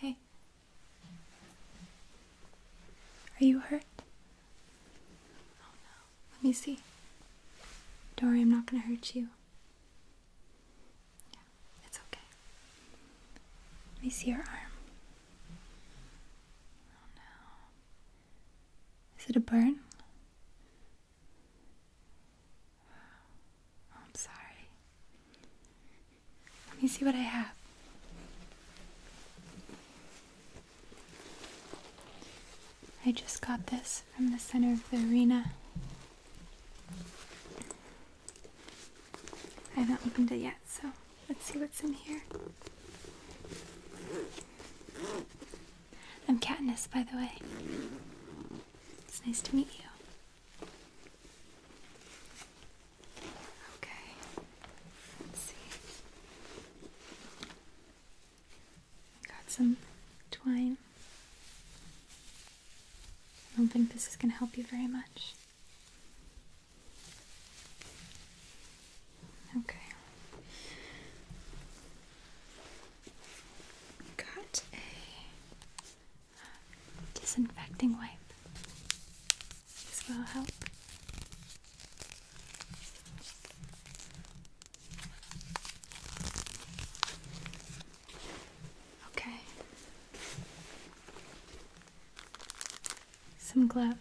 Hey. Are you hurt? Oh no. Let me see. Dory, I'm not going to hurt you. Yeah, it's okay. Let me see your arm. Oh no. Is it a burn? Oh, I'm sorry. Let me see what I have. I just got this from the center of the arena. I haven't opened it yet, so let's see what's in here. I'm Katniss, by the way. It's nice to meet you. Okay, let's see. Got some twine. I don't think this is going to help you very much. Okay got a disinfecting wipe. This will help. Okay. Some gloves.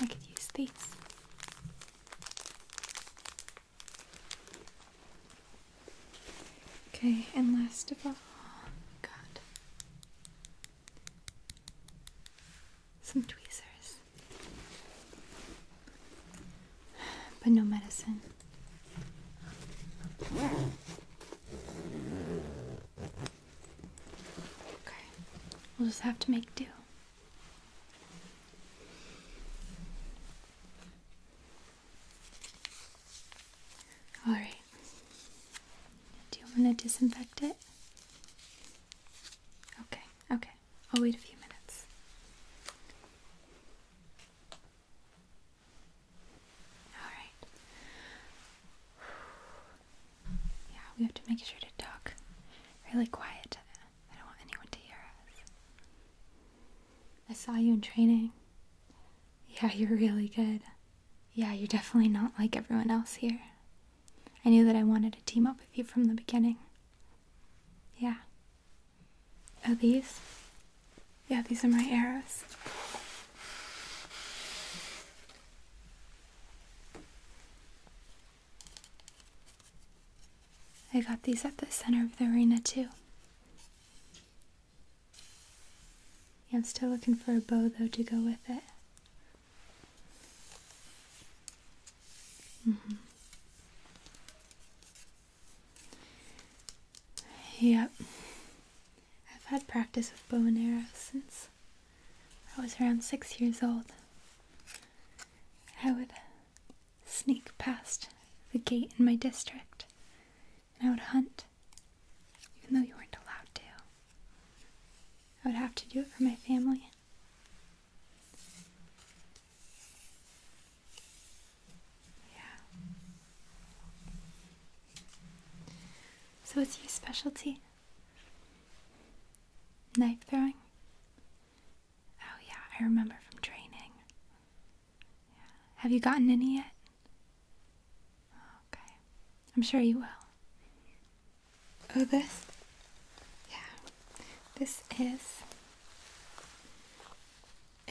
I could use these. Okay, and last of all, God. Some tweezers. But no medicine. Okay. We'll just have to make do. All right. Do you want to disinfect it? Okay, okay. I'll wait a few minutes. All right. Yeah, we have to make sure to talk really quiet I don't want anyone to hear us. I saw you in training. Yeah, you're really good. Yeah, you're definitely not like everyone else here. I knew that I wanted to team up with you from the beginning. Yeah. Oh, these? Yeah, these are my arrows. I got these at the center of the arena too. I'm still looking for a bow though to go with it. Mm-hmm. Yep. I've had practice with bow and arrow since I was around six years old. I would sneak past the gate in my district, and I would hunt, even though you weren't allowed to. I would have to do it for my family. Yeah. So, what's your specialty? Knife throwing? Oh, yeah, I remember from training. Have you gotten any yet? Okay. I'm sure you will. Oh, this? Yeah. This is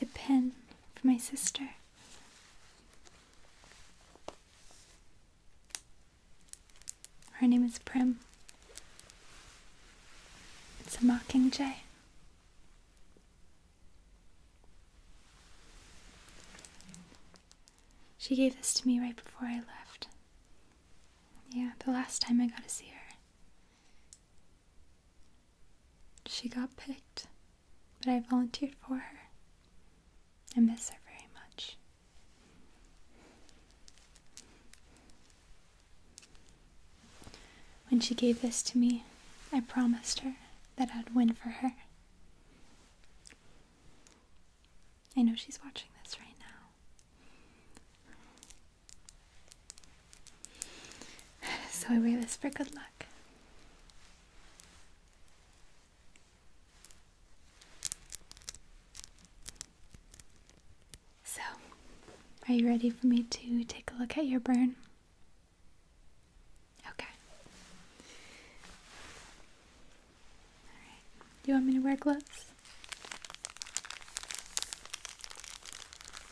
a pen for my sister. Her name is Prim. It's a mockingjay. She gave this to me right before I left. Yeah, the last time I got to see her. She got picked, but I volunteered for her. I miss her very much. When she gave this to me, I promised her that I'd win for her. I know she's watching this right now. So I wear this for good luck. So, are you ready for me to take a look at your burn? Okay. Alright. Do you want me to wear gloves?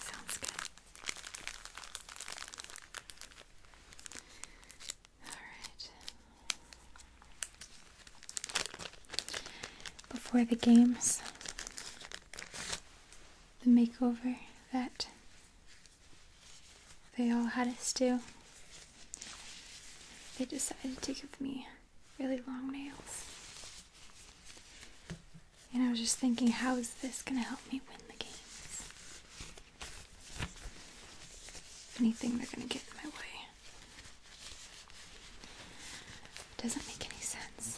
Sounds good. Alright. Before the games, the makeover that they all had us do. They decided to give me really long nails. And I was just thinking, how is this going to help me win the games? anything, they're going to get in my way. doesn't make any sense.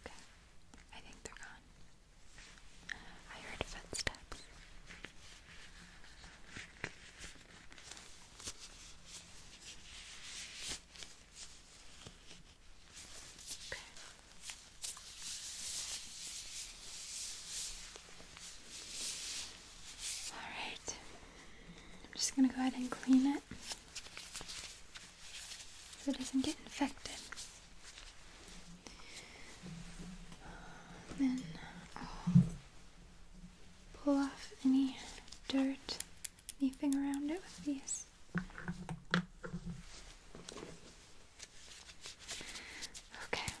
Okay, I think they're gone. I heard footsteps. Okay. Alright, I'm just going to go ahead and clean it so it doesn't get infected. then pull off any dirt anything around it with these. Okay.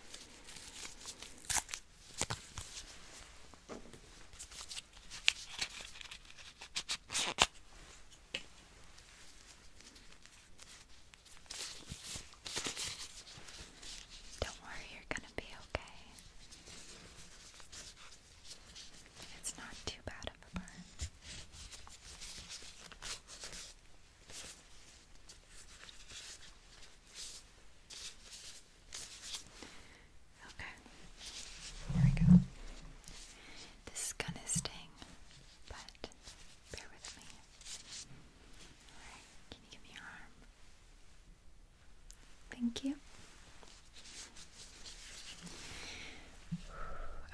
Don't worry, you're going to be okay. It's not too bad of a burn. Okay, here we go. This is gonna sting, but bear with me. Alright, can you give me your arm? Thank you.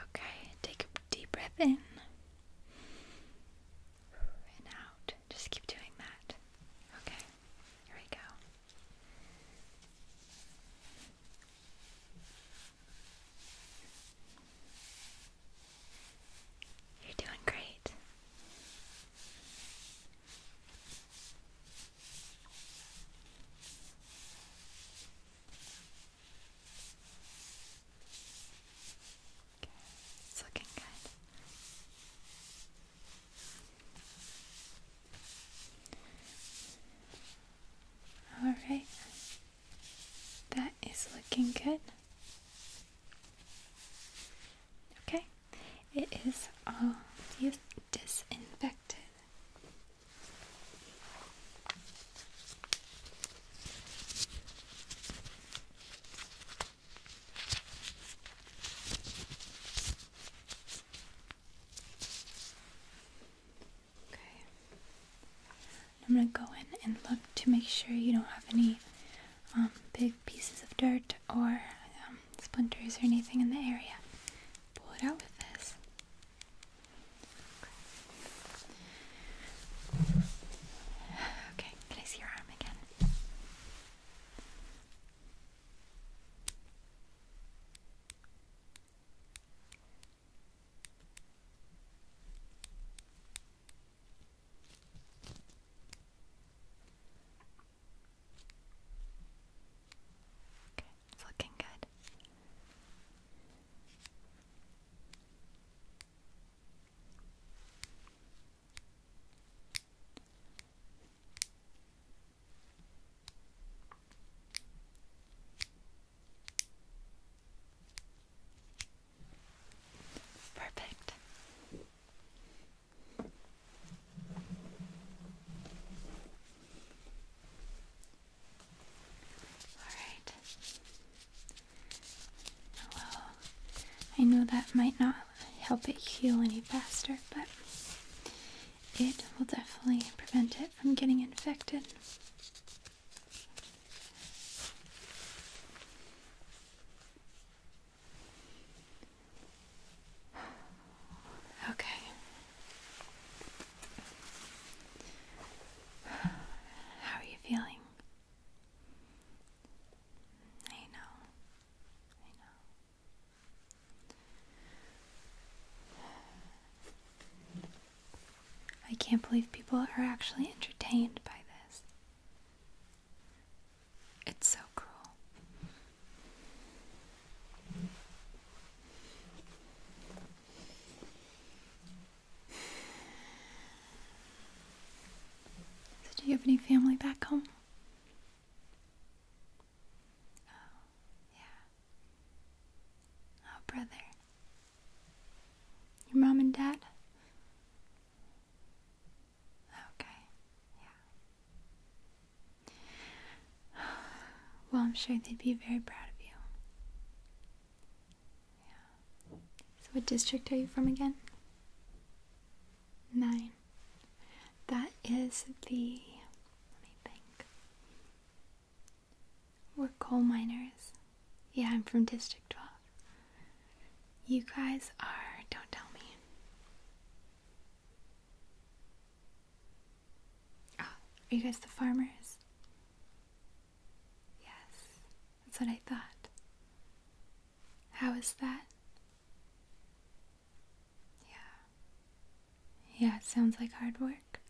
Okay, take a deep breath in and out. Just keep doing that. Okay, here we go. You're doing great. Okay, it's looking good. All right, that is looking good. Okay, it is all disinfected. Okay. I'm going to go in and look to make sure you don't have any um, big pieces of dirt or um, splinters or anything in the area. Pull it out with this. Okay, can I see your arm again? Okay, it's looking good. Perfect. Alright. Well, I know that might not help it heal any faster, but it will definitely prevent it from getting infected. Okay. How are you feeling? I know. I know. I can't believe people are actually entertained by this. It's so cruel. do you have any family back home? Oh, yeah. Oh, brother. Your mom and dad? Okay, yeah. Well, I'm sure they'd be very proud of you. Yeah. So, what district are you from again? nine. That is the, let me think. We're coal miners. Yeah, I'm from District 12. You guys are, don't tell me. Oh, are you guys the farmers? Yes, that's what I thought. How is that? Yeah. Yeah, sounds like hard work.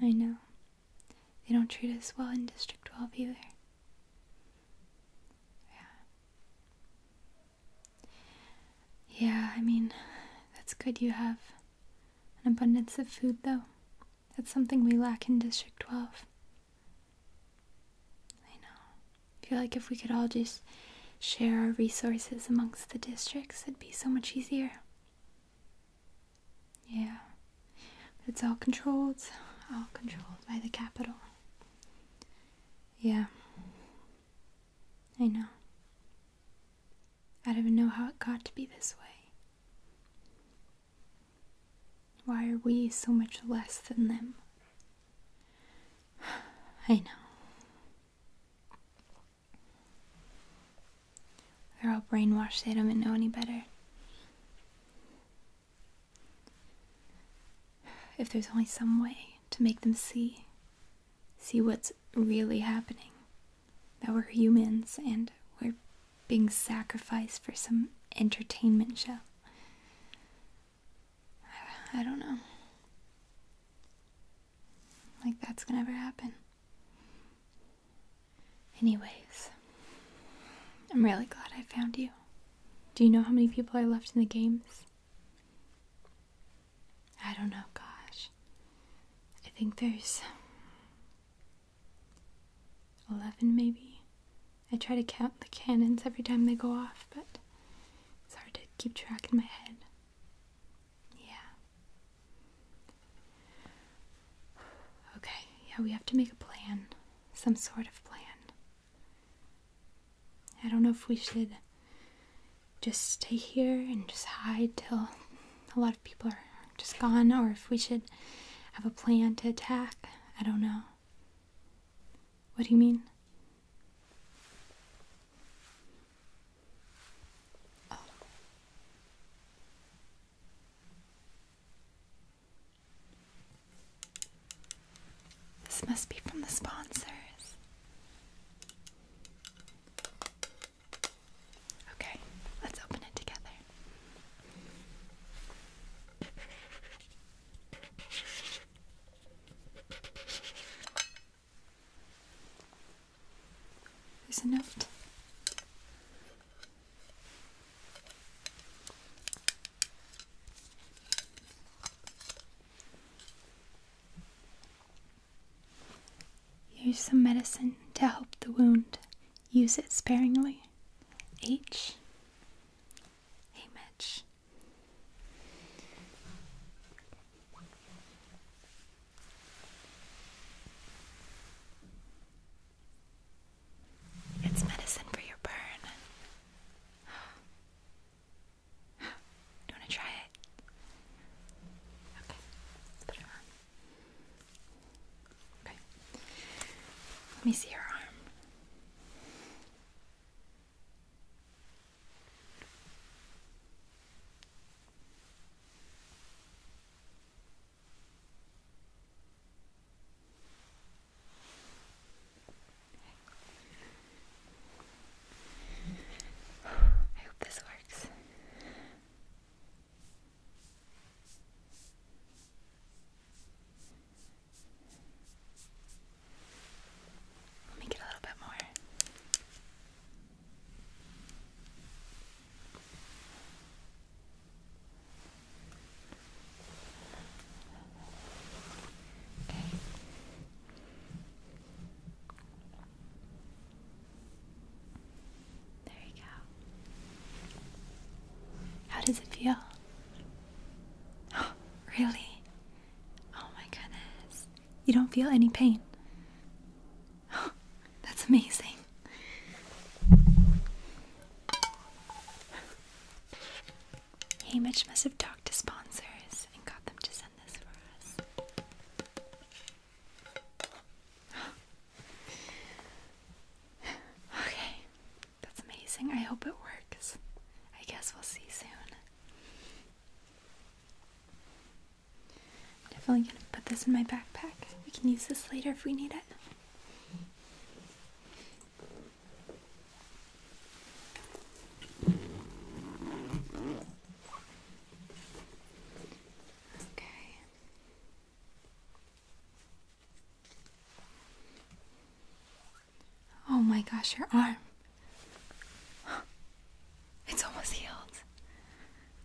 I know. They don't treat us well in District 12 either. Yeah. Yeah, I mean, that's good you have an abundance of food, though. That's something we lack in District 12. I know. I feel like if we could all just share our resources amongst the districts, it'd be so much easier. Yeah. it's all controlled, all controlled by the capital. Yeah. I know. I don't even know how it got to be this way. Why are we so much less than them? I know. They're all brainwashed, they don't know any better. If there's only some way to make them see, see what's really happening, that we're humans and we're being sacrificed for some entertainment show. I, don't know. Like that's gonna ever happen. Anyways, I'm really glad I found you. Do you know how many people are left in the games? I don't know, gosh. I think there's 11 maybe. I try to count the cannons every time they go off, but it's hard to keep track in my head. Yeah. Okay, yeah, we have to make a plan. Some sort of plan. I don't know if we should just stay here and just hide till a lot of people are just gone, or if we should have a plan to attack. I don't know. What do you mean? Oh. This must be from the sponsors. Okay, let's open it together. There's a note. Here's some medicine to help the wound. Use it sparingly. H. Hey, Mitch. It's medicine for your burn. Do you want to try it? Okay, let's put it on. Okay. Let me see your arm. I hope this works. Let me get a little bit more. Okay. There you go. How does it feel? Oh, really? Oh my goodness. You don't feel any pain. that's amazing. Hamish must have talked to sponsors and got them to send this for us. okay, that's amazing. I hope it works. I guess we'll see soon. I'm definitely gonna put this in my backpack. We can use this later if we need it. Okay. Oh my gosh, your arm. It's almost healed.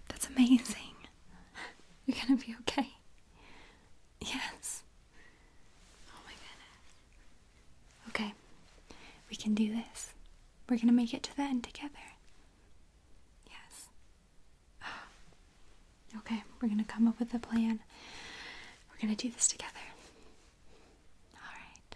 That's amazing. You're gonna be okay. Yes. Oh my goodness. Okay, we can do this. We're gonna make it to the end together. Yes. Okay, we're gonna come up with a plan. We're gonna do this together. Alright.